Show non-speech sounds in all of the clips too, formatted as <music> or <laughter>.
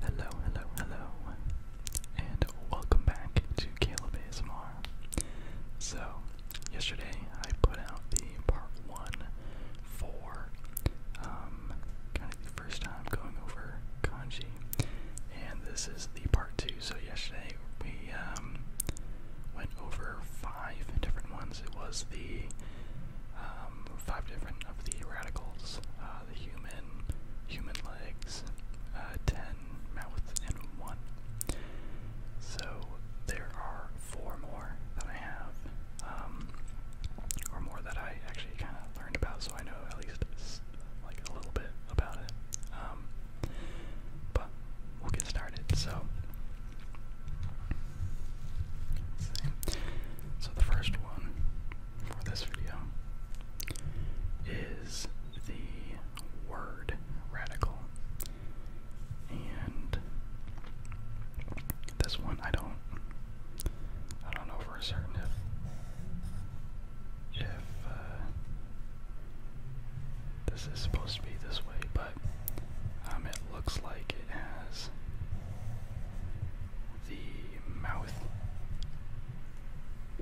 Hello, hello, hello, and welcome back to Caleb ASMR. So, yesterday I put out the part one for um, first time going over kanji, and this is the part two. So yesterday we um, went over five different ones. It was the um, five different of the radicals, uh, the human, human legs, uh, ten mouth, and one. So there are four more that I have, um, or more that I actually kind of learned about so I know at least like a little bit about it. Um, but we'll get started. So, so the first one for this video is the word radical, and this one I don't, I don't know for certain if uh, this is supposed to be this way, but um, it looks like it has the mouth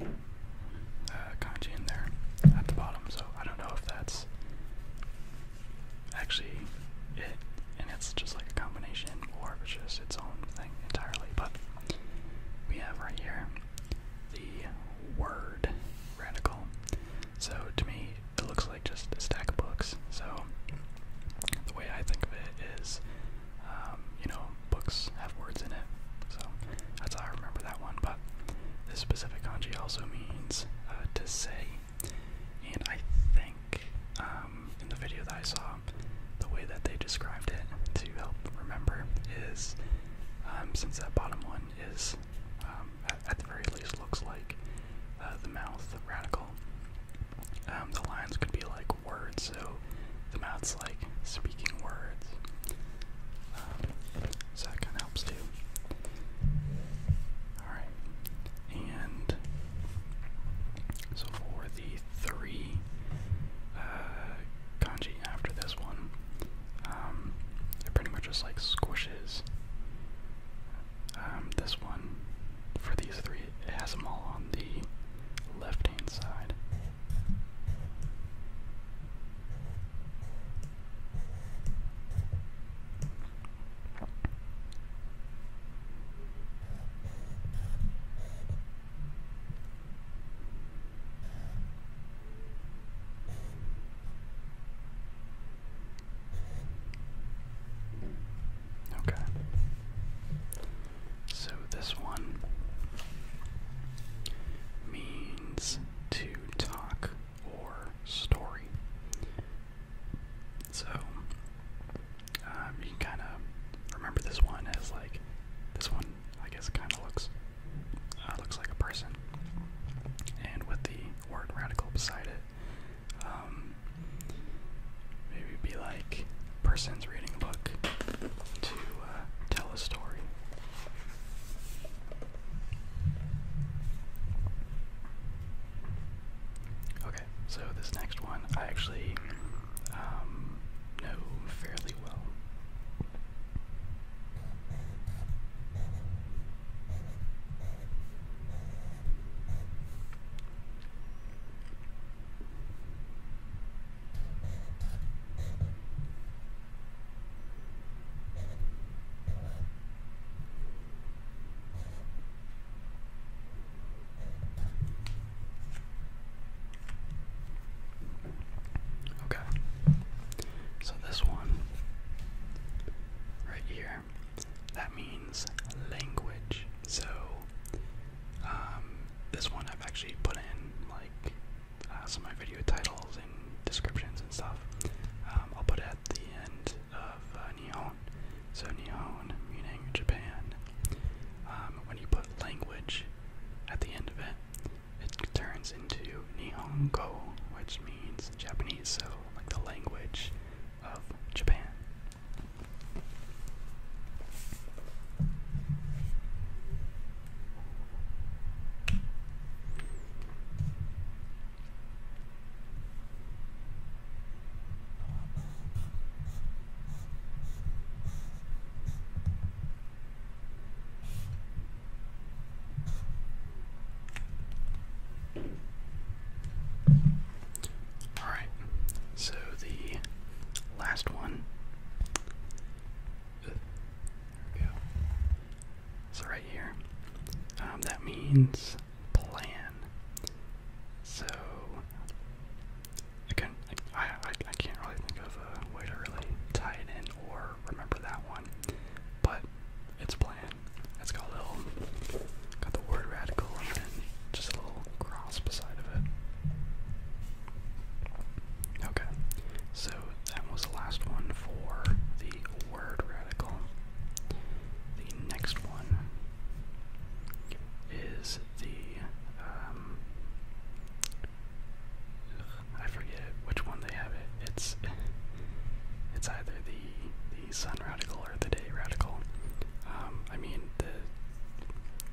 uh, kanji in there at the bottom. So I don't know if that's actually it, and it's just like a combination, or it's just its own thing entirely. But we have right here the word radical. So to me, it looks like just a stack of books. So the way I think of it is, um, you know, books have words in it. So that's how I remember that one. But this specific kanji also means uh, to say. And I think um, in the video that I saw, the way that they described it to help remember is um, since that bottom one is, um, at, the very least, looks like uh, the mouth radical, um, the lines could be like words, so the mouth's like speaking words. so that kind of helps too. Alright, and so for the three uh, kanji after this one. Um, it pretty much just like squishes um, this one. For these three, it has them all on the left hand side. Okay. So this one means to talk or story. So um, you can kind of remember this one as like this one I guess it kind of looks uh, looks like a person, and with the word radical beside it, um, maybe be like person's reading a book to uh, tell a story. Okay, so this next one I actually know um, fairly well. Okay. So this one right here, that means language. So um, this one I've actually put in like uh, some of my video titles and descriptions and stuff. Um, I'll put at the end of uh, Nihon. So Nihon meaning Japan. Um, when you put language at the end of it, it turns into Nihongo, which means Japanese, so like the language of Japan. Alright, so the last one. There we go. So, right here, um, that means plan. So, I I, I, can't really think of a way to really tie it in or remember that one, but it's planned. It's got a little, got the word radical and just a little cross beside of it. Okay, so that was the last one for the word radical. The next one is the um, I forget which one they have it. It's it's either the the sun radical or the day radical. Um, I mean the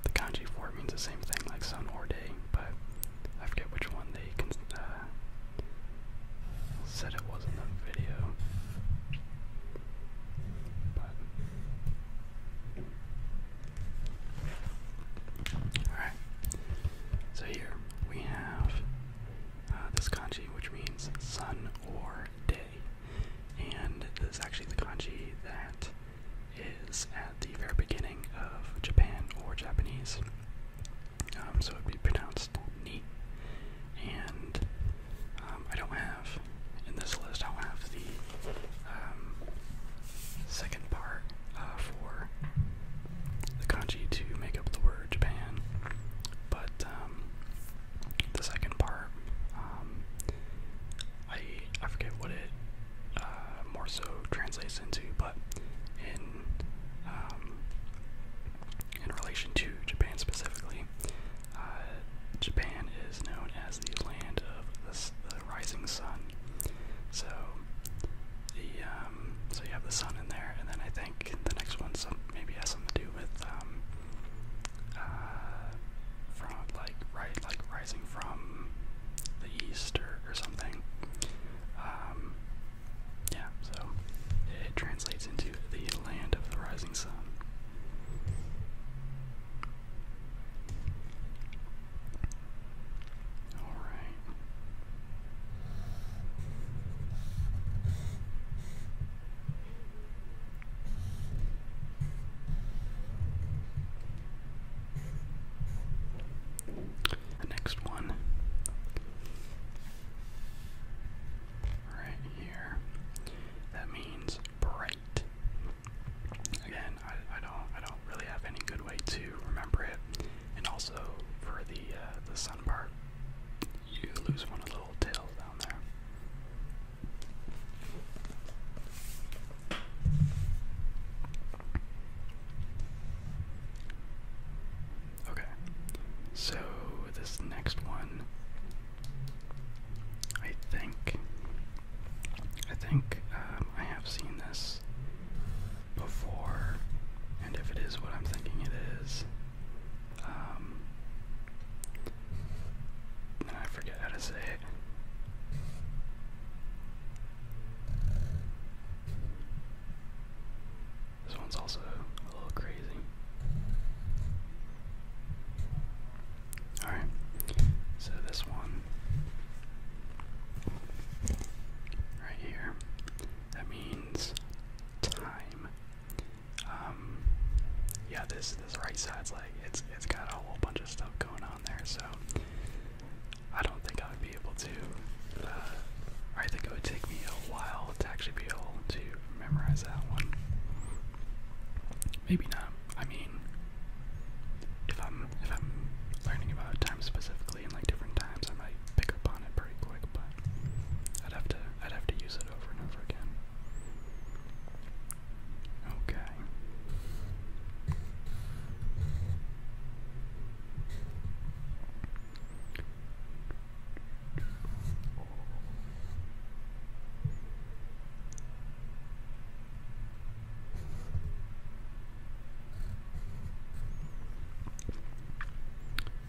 the kanji for it means the same thing like sun or day, but I forget which one they uh, said it was in the video. But Alright, so here we have uh, this kanji, which means sun or day. And this is actually the kanji that is at the very beginning of Japan or Japanese. Um, so it would be pronounced ni. And um, I don't have, in this list, I don't have the um, second part uh, for the kanji to make up the word Japan, but um, the second part, um, I I forget what it uh, more so translates into, but in um, in relation to Japan specifically, uh, Japan is known as the land of the the rising sun. So the um, so you have the sun in there, and then I think the next one some maybe has something to do with um, uh, from like right like rising from the east or, or something. Um, yeah, so it translates into the land of the rising sun. All right. next one right here. That means bright. Again, I, don't I don't really have any good way to remember it. And also for the uh, the sun part, you lose one of the little tails down there. Okay, so this next one, I think, I think um, I have seen this before, and if it is what I'm thinking it is, um, I forget how to say it. This one's also a little crazy. Alright, so this one right here. That means time. Um, yeah, this this right side's like it's it's got a whole bunch of stuff going on there, so I don't think I would be able to. Uh, I think it would take me a while to actually be able to memorize that one. Maybe not. I mean, if I'm if I'm learning about time specifically in like different times. I might pick up on it pretty quick, but I'd have to I'd have to use it over and over again. Okay.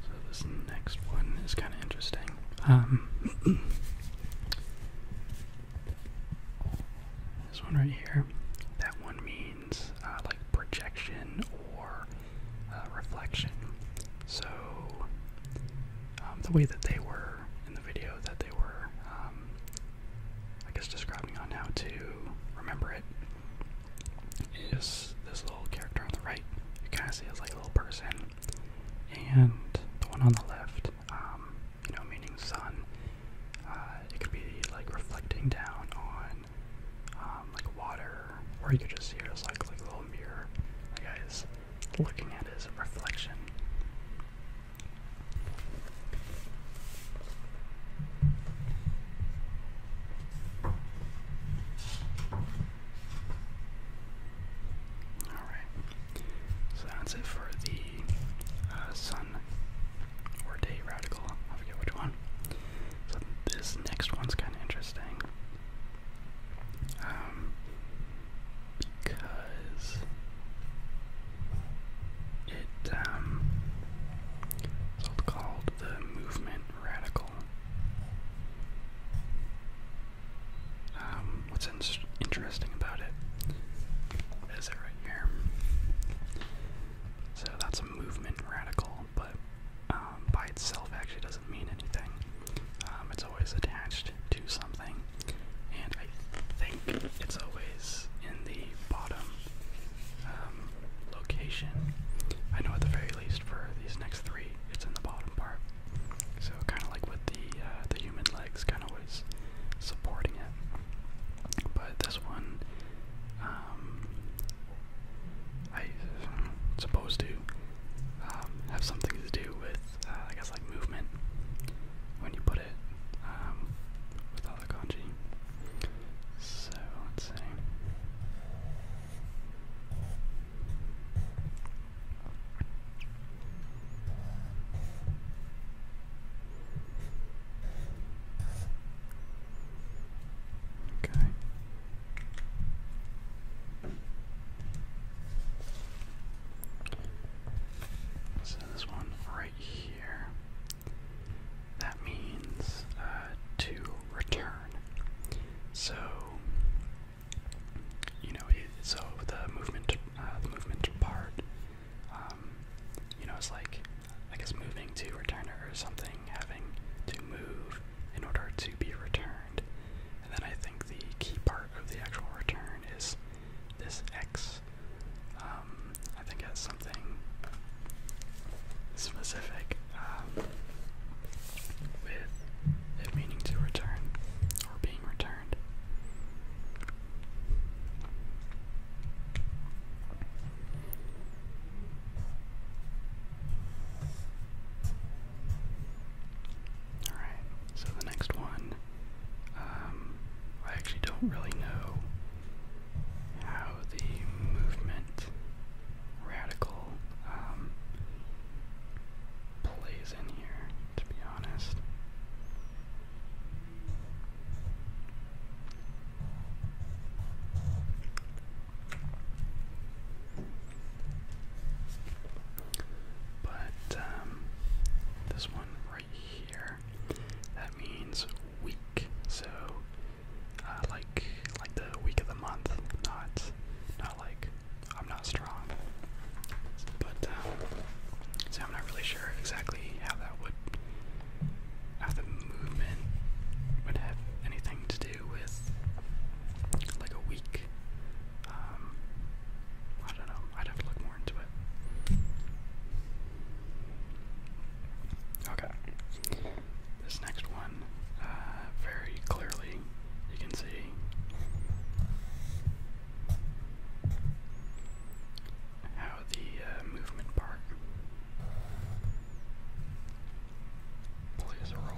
So this next one is kind of interesting. Um, <coughs> this one right here, that one means uh, like projection or uh, reflection. So um, the way that they were in the video that they were, um, I guess, describing on how to remember it is this little character on the right. You kind of see as like a little person, and the one on the left, um, you know, meaning sun. Uh, it could be like reflecting down on um, like water, or you could just see it as like a little mirror. The guy is looking at his reflection. Alright, so that's it for the uh, sun or day radical. I forget which one. So this next one's kind of interesting. Um, because it um, it's called the movement radical. Um, what's interesting about it is it right here. So that's a movement radical, but um, by itself actually doesn't mean anything. Um, it's always attached to something, and I think it's always in the bottom um, location. I know at the very least for these next three, it's in the bottom part. So kind of like with the uh, the human legs, kind of was supporting it. But this one, um, I supposed to um, have something to do with, uh, I guess, like movement when you put it so let's see. Okay. So this one right here that means uh, to return. So you know, so the movement, uh, movement part, um, you know, it's like I guess moving to return or something, having to move in order to be returned. And then I think the key part of the actual return is this X. Um, think at something specific um, with it meaning to return or being returned. Alright, so the next one, um, I actually don't really know how the movement radical um, plays in here, to be honest. But um, this one right here, that means weak. So uh, like like the week of the month, not not like I'm not strong. But um, so I'm not really sure exactly how that would how the movement would have anything to do with like a week. Um, I don't know. I'd have to look more into it. Okay this next one uh, very clearly. You can see how the uh, movement part plays a role.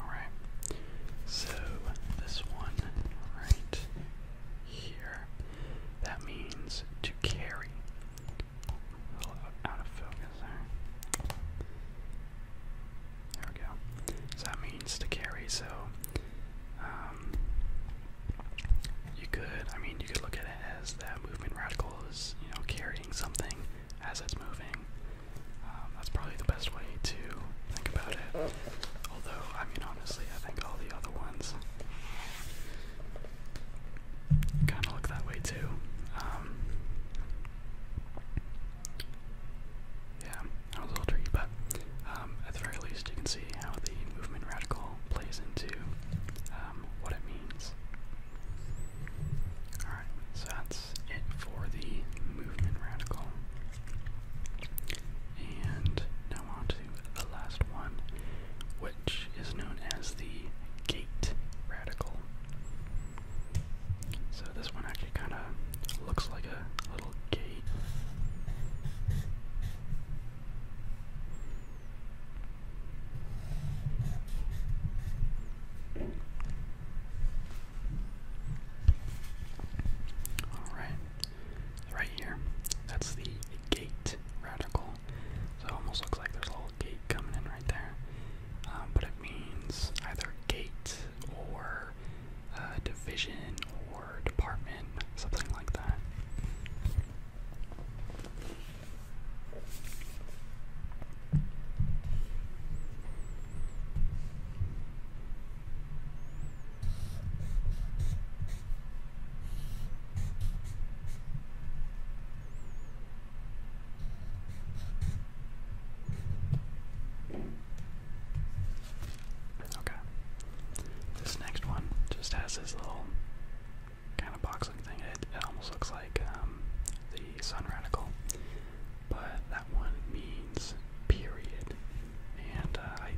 All right. So this one right here. That means to carry. out of focus there. There we go. So that means to carry. So um, you could, I mean, you could look at it as that movement radical is, you know, carrying something as it's moving. Um, that's probably the best way to think about it. Although, I mean, honestly, I think all the other ones kind of look that way too. Um, yeah, a little tricky, but um, at the very least, you can see how the movement radical plays into um, what it means. Alright, so that's it for the movement radical. And now on to the last one, which is known as the gate radical. So this one actually kind of Looks like a little gate. Alright, right here. That's the gate radical. So almost looks like there's a little gate coming in right there. Um, but it means either gate or uh, division or department, something like that. Okay. This next one just has this little kind of boxing thing. It, almost looks like um, the sun radical, but that one means period, and uh, I,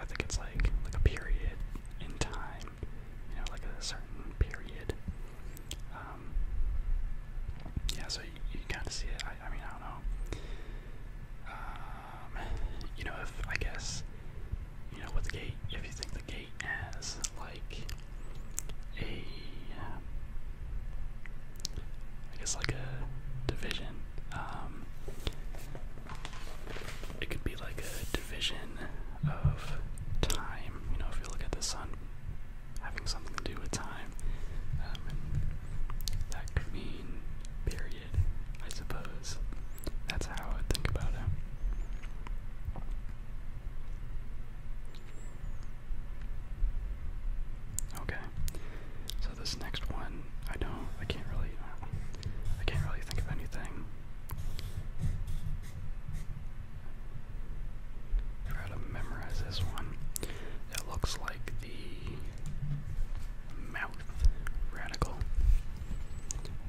I think it's like like a period in time, you know, like a certain period. Um, yeah, so you, kind of see it. I, mean, I don't know. Um, you know, if I guess, you know, with the gate, if you think the gate as like a, I guess like a division, um, it could be like a division of time. You know, if you look at the sun having something to do with time. Um, that could mean period, I suppose. That's how I think about it. Okay, so this next one, I don't, I can't really, I can't really think of anything. Try to memorize this one that looks like the mouth radical.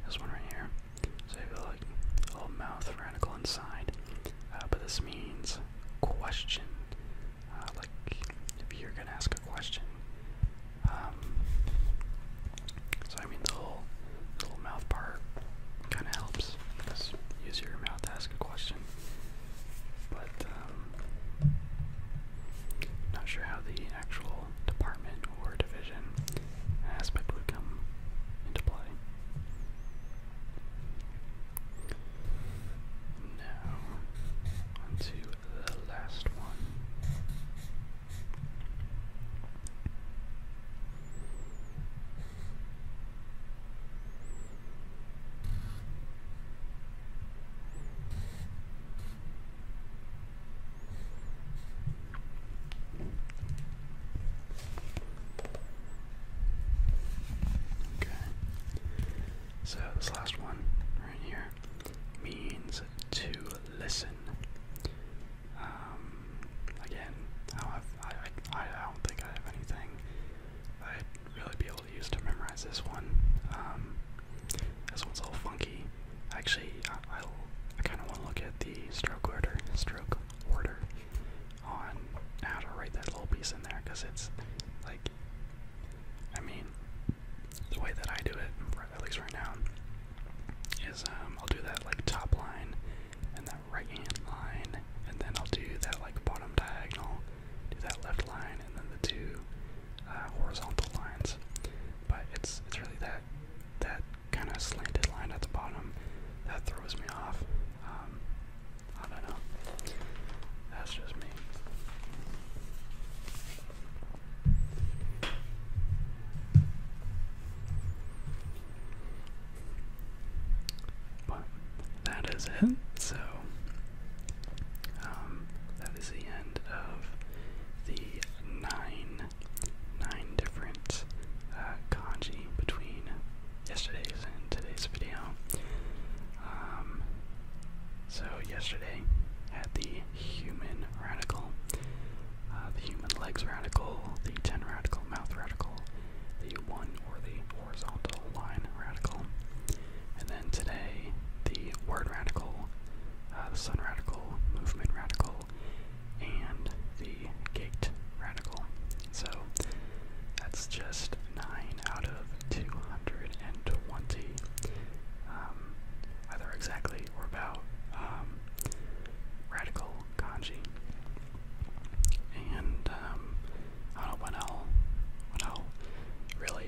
This one right here. So you have like a little mouth radical inside. Uh, but this means question. Uh, like if you're gonna ask a question. Um, so I mean the whole little mouth part kinda helps because you use your mouth to ask a question. But um, not sure how the actual department or division aspect would come into play. Now, on the last one. Okay. So this last one right here means to listen. Um, again, I don't, think I have anything I'd really be able tool to use to memorize this one. Um, this one's a little funky. Actually, I, will I kind of want to look at the stroke order, stroke order, on how to write that little piece in there because it's like, I mean, the way that I do it, at least right now, is um, I'll do that like top line and that right hand line, and then I'll do that like bottom diagonal do that left line and then the two uh, horizontal lines. But it's it's really that that kind of slanted line at the bottom that throws me off. Um, I don't know. That's just me. But that is it. So um, that is the end of the nine, nine different uh, kanji between yesterday's and today's video. Um, so yesterday had the human radical, uh, the human legs radical, the ten radical mouth radical, the one or the horizontal line radical, and then today, the word radical, uh, the sun radical, movement radical, and the gate radical. So that's just 9 out of 220. Um, either exactly or about um, radical kanji. And um, I don't know when I'll, when really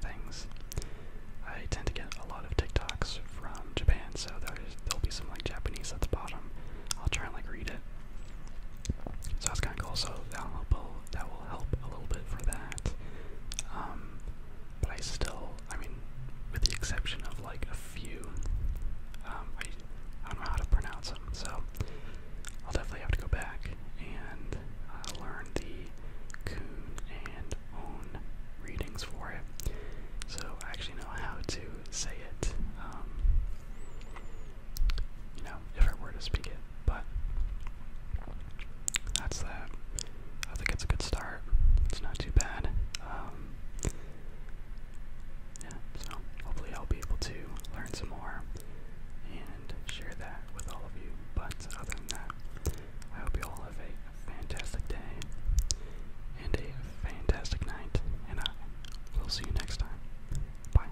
things. I tend to get a lot of TikToks from Japan, so there'll be some like Japanese at the bottom. I'll try and like read it. So that's kind of cool. So that will that will help a little bit for that. Um, but I still, I mean, with the exception of like a few, um, I, don't know how to pronounce them. So I'll definitely have to go back and uh, learn the Kun and own readings for it. So I actually know how to say it. Um, you know, if I were to speak it, but that's that. I think it's a good start. It's not too bad. Um, yeah, so hopefully I'll be able to learn some more and share that with all of you. But other than that, I hope you all have a fantastic day and a fantastic night, and I will see you next time. Bye.